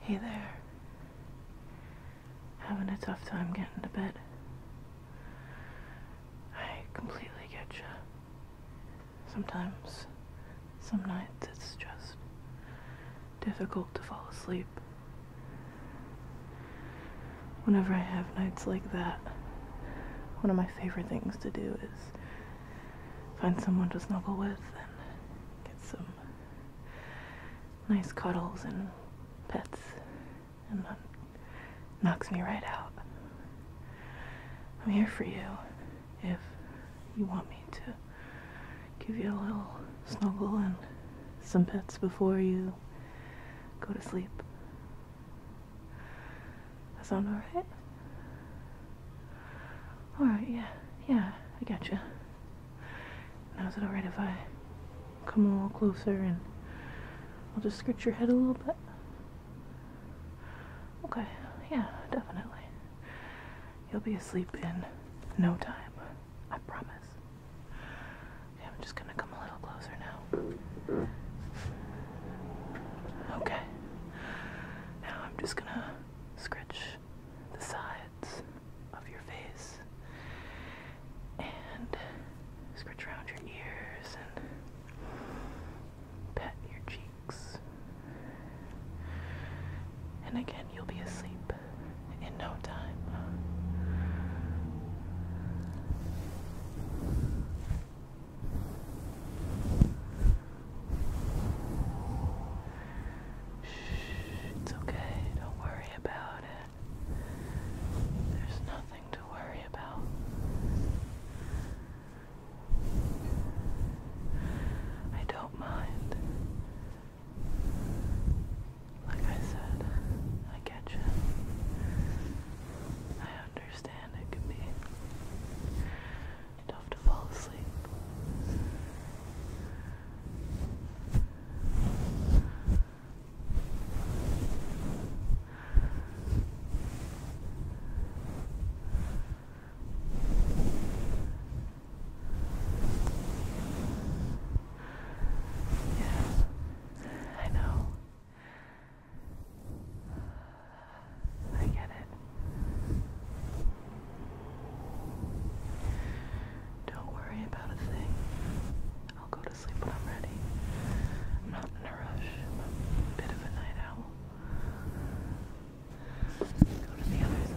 Hey there. Having a tough time getting to bed. I completely get you. Sometimes, some nights it's just difficult to fall asleep. Whenever I have nights like that, one of my favorite things to do is find someone to snuggle with and get some nice cuddles and pets and that knocks me right out. I'm here for you if you want me to give you a little snuggle and some pets before you go to sleep. That sound alright? Alright, yeah, yeah, I got you. Now is it alright if I come a little closer and I'll just scratch your head a little bit? Okay, yeah, definitely. You'll be asleep in no time. I promise. Okay, I'm just gonna come a little closer now. Okay. Now I'm just gonna scratch the sides of your face and scratch around your ears and pet your cheeks. And again, you'll be asleep in no time. Shh, it's okay, don't worry about it. There's nothing to worry about. I don't mind. Like I said, I get you. I understand it can be enough to fall asleep. Yeah, I know. I get it. Don't worry about a thing. I'll go to sleep when I'm ready. I'm not in a rush. bit of a night owl. Go to the other side.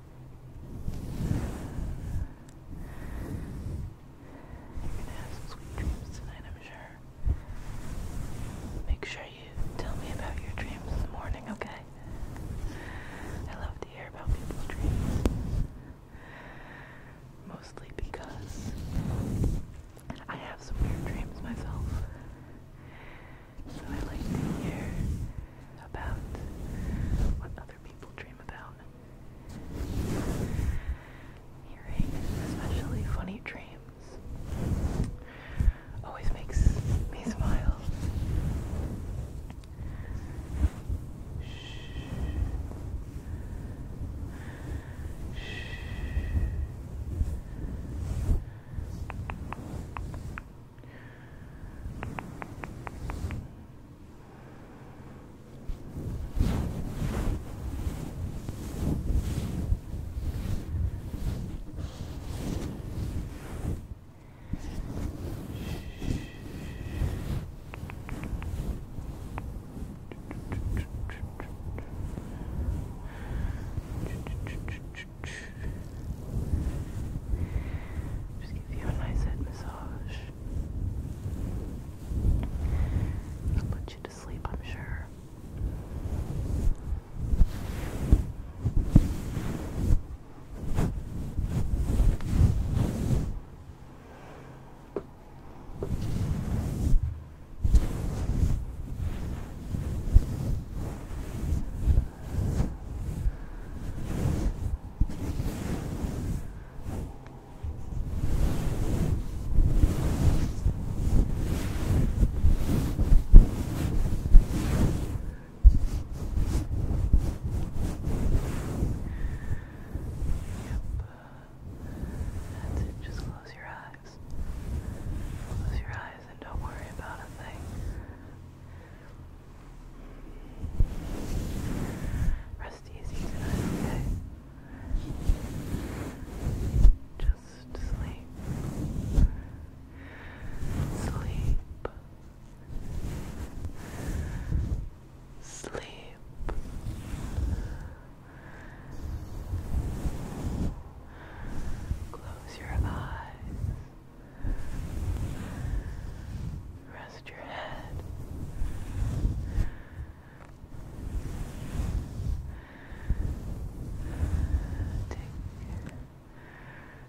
You're gonna have some sweet dreams tonight, I'm sure. Make sure you tell me about your dreams in the morning, okay? I love to hear about people's dreams. Mostly because I have some weird dreams myself. So I like to hear about what other people dream about. Hearing, especially funny dreams, always makes me smile. Shh. Shh. Just give you a nice head massage i will put you to sleep, I'm sure. That's it, just close your eyes. Close your eyes and don't worry about a thing. Rest easy tonight, Just sleep. Sleep. Sleep. Close your eyes. Rest Trust your head. Take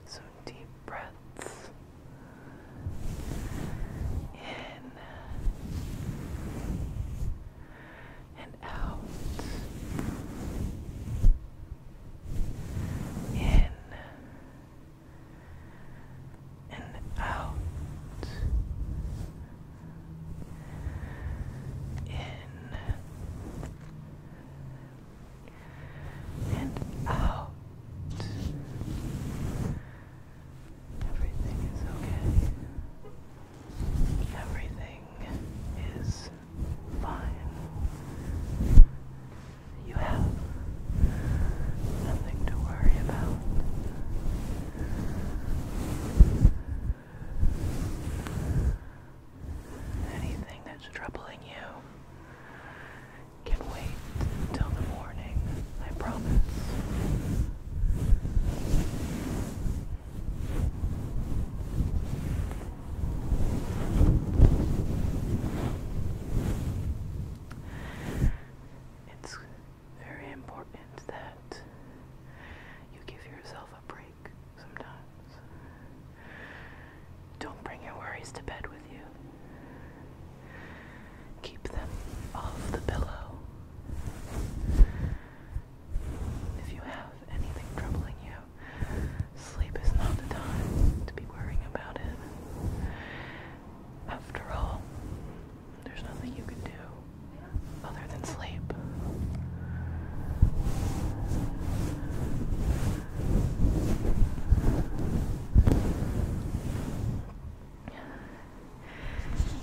some deep breaths in and out. In and out. In and out. Everything is okay. Everything is fine. You have Nothing to worry about. Anything that's troubling you can wait until the morning, I promise. It's very important that you give yourself a break sometimes. Don't bring your worries to bed with you. Keep them off the pillow. If you have anything troubling you, sleep is not the time to be worrying about it. After all, there's nothing you can do other than sleep.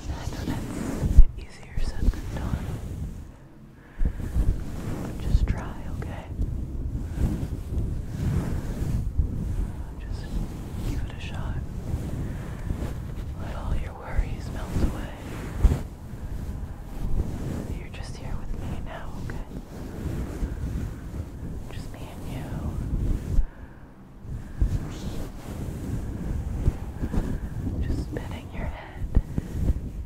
I know that's easier said than done. just try, okay? just give it a shot. Let all your worries melt away. You're just here with me now, okay? Just me and you. Just petting your head and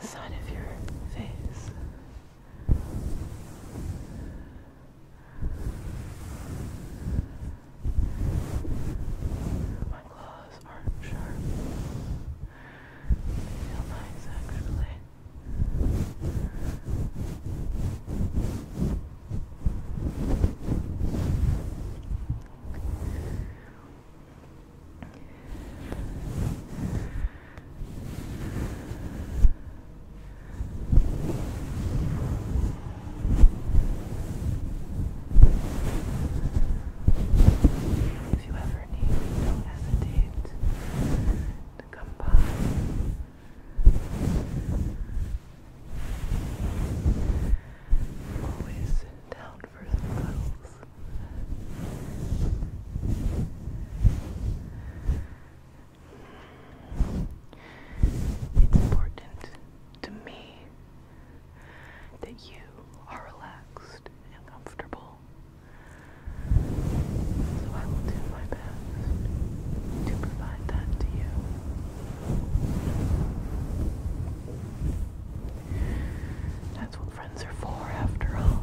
the side of your face. My claws aren't sharp. They feel nice actually. If you ever need don't hesitate to come by. always down for some cuddles. It's important to me that you are relaxed and comfortable. So I will do my best to provide that to you. That's what friends are for, after all.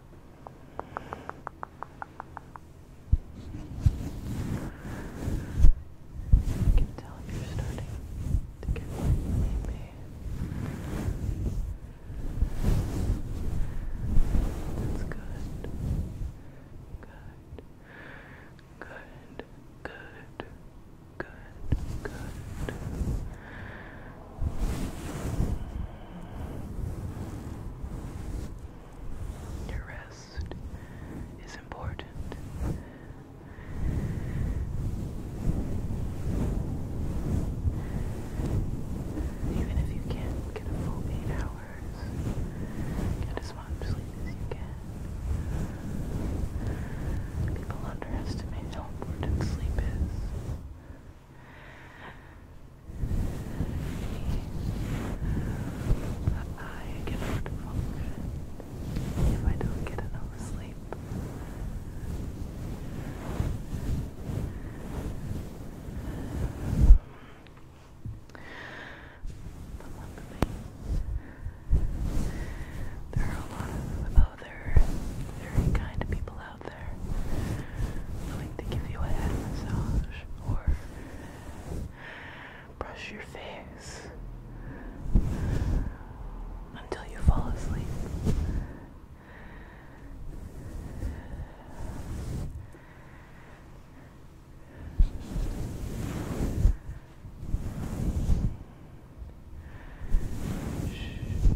I can tell you're starting to get sleepy. That's good. Good. Good. Good. Good. Good. Your rest is important. Even if you can't get a full eight hours, get as much sleep as you can. People underestimate how important sleep is. I cannot function if I don't get enough sleep. But luckily, there are a lot of other very kind people out there willing to give you a head massage or brush your face until you fall asleep. Shh.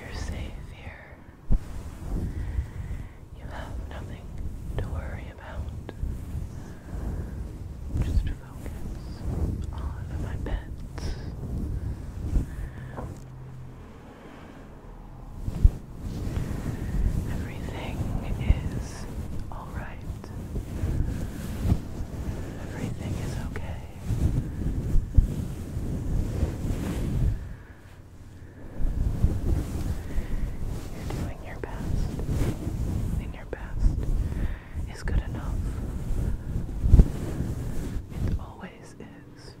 You're safe here. You have nothing to worry about. Just focus on my pets. Everything is alright. Everything is okay. You're doing your best, and your best is good enough. It always is.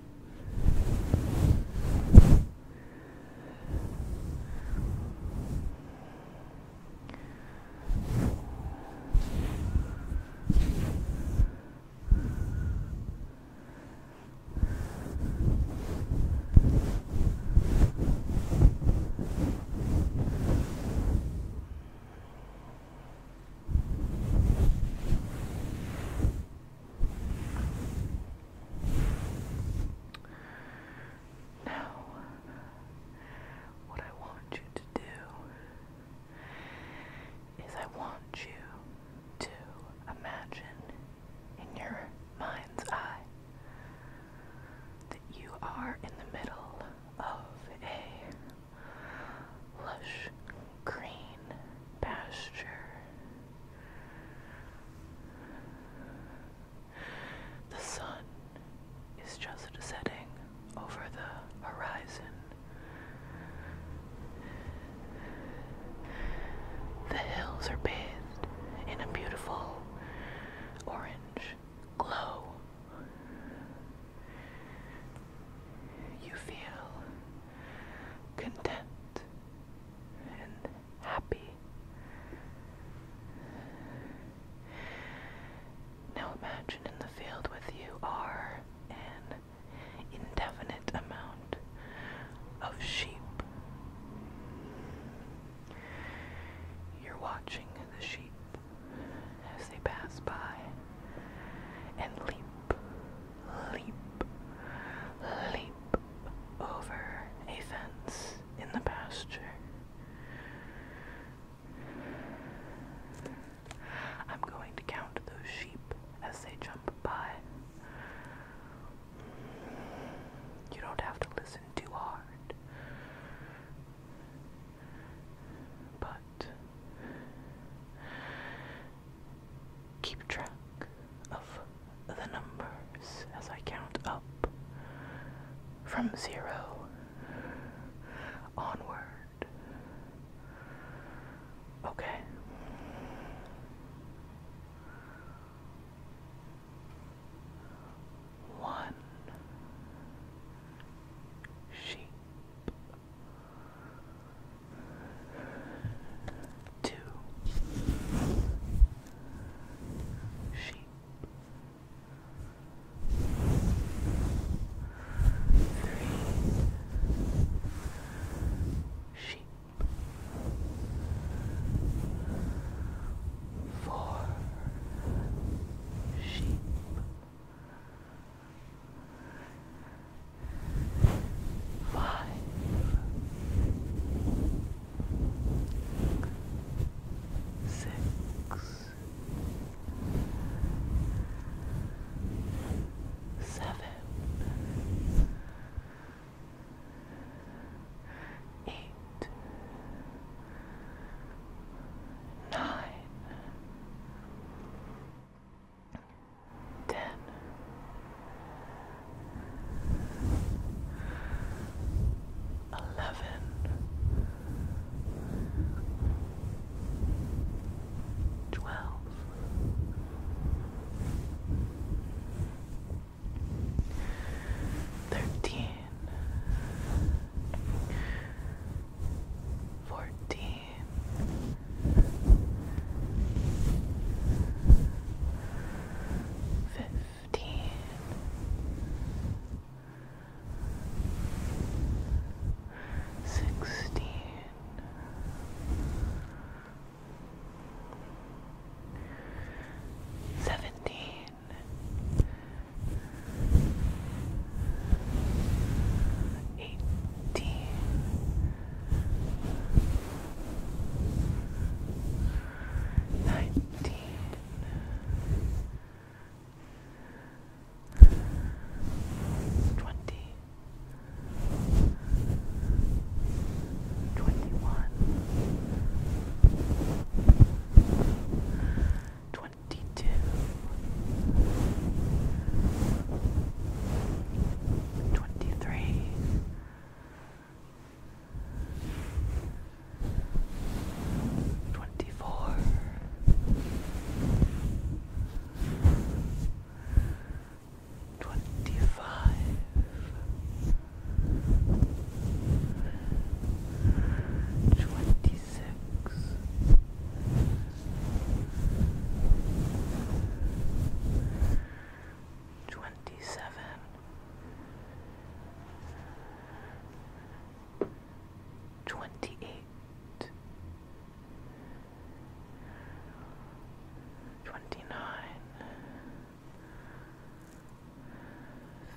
Now, what I want you to do is I want you to imagine in your mind's eye that you are in the middle of a lush green pasture. The sun is just setting over the horizon. The hills are bathed in a beautiful orange glow. You feel content and happy. Now imagine in the field with you are an indefinite amount of sheep. You're watching the sheep as they pass by and leap, leap, leap over a fence in the pasture. I'm going to count those sheep as they jump by. You don't have to listen too hard. But keep track of the numbers as I count up from zero onward. Okay. One sheep, two sheep, three, sheep, four, sheep. Five, six, seven, seven, eight, nine, ten, eleven. Twelve, Thirteen, fourteen, fifteen. Sixteen, seventeen, eighteen, nineteen. Twenty 21 22 23 24 23 Twenty-five, twenty-six, twenty-seven, twenty-eight twenty nine,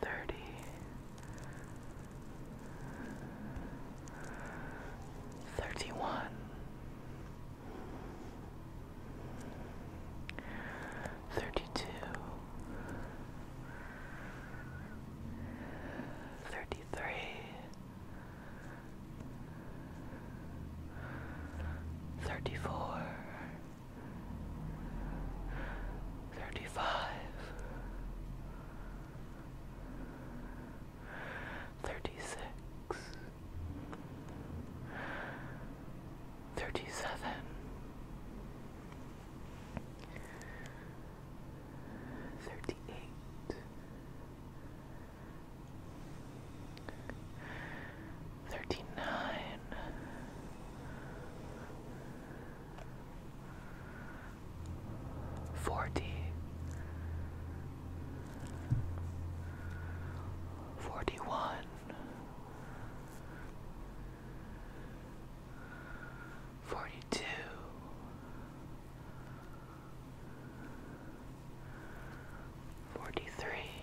thirty, thirty one, thirty two. Thirty three, Thirty-four, thirty-five, thirty-six, thirty-seven, thirty-eight. 38 Thirteen nine. Forty. Forty one. Forty two. Forty-three,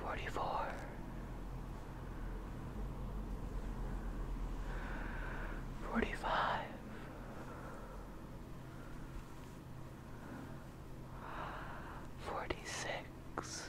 forty-four, forty-five, forty-six,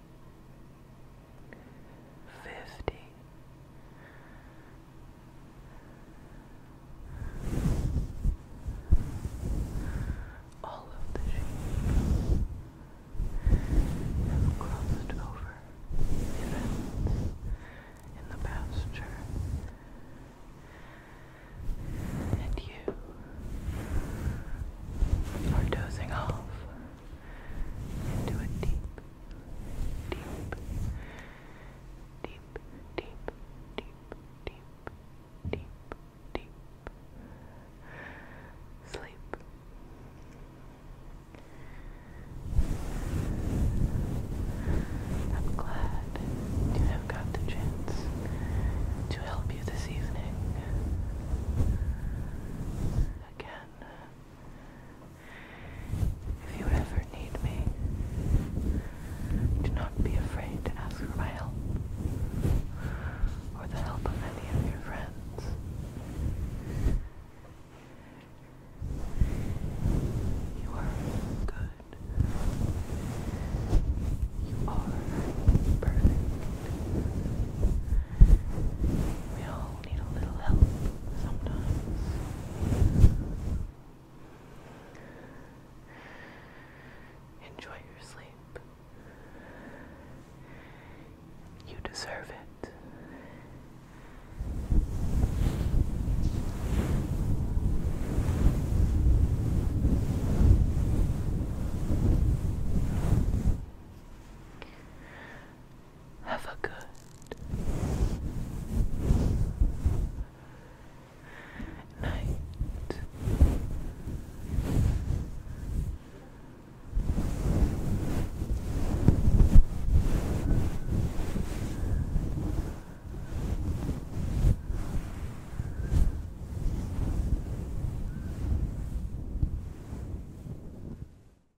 fifty. All of the sheep have crossed over the in the pasture, and you are dozing off into a deep, deep, deep, deep, deep, deep, deep, deep sleep. I'm glad you have got the chance to help you this evening. Again, if you ever need me, do not be afraid to ask for my help or the help of any of your friends. You are good. You are perfect. We all need a little help sometimes. Enjoy your sleep. You deserve it. Have a good night.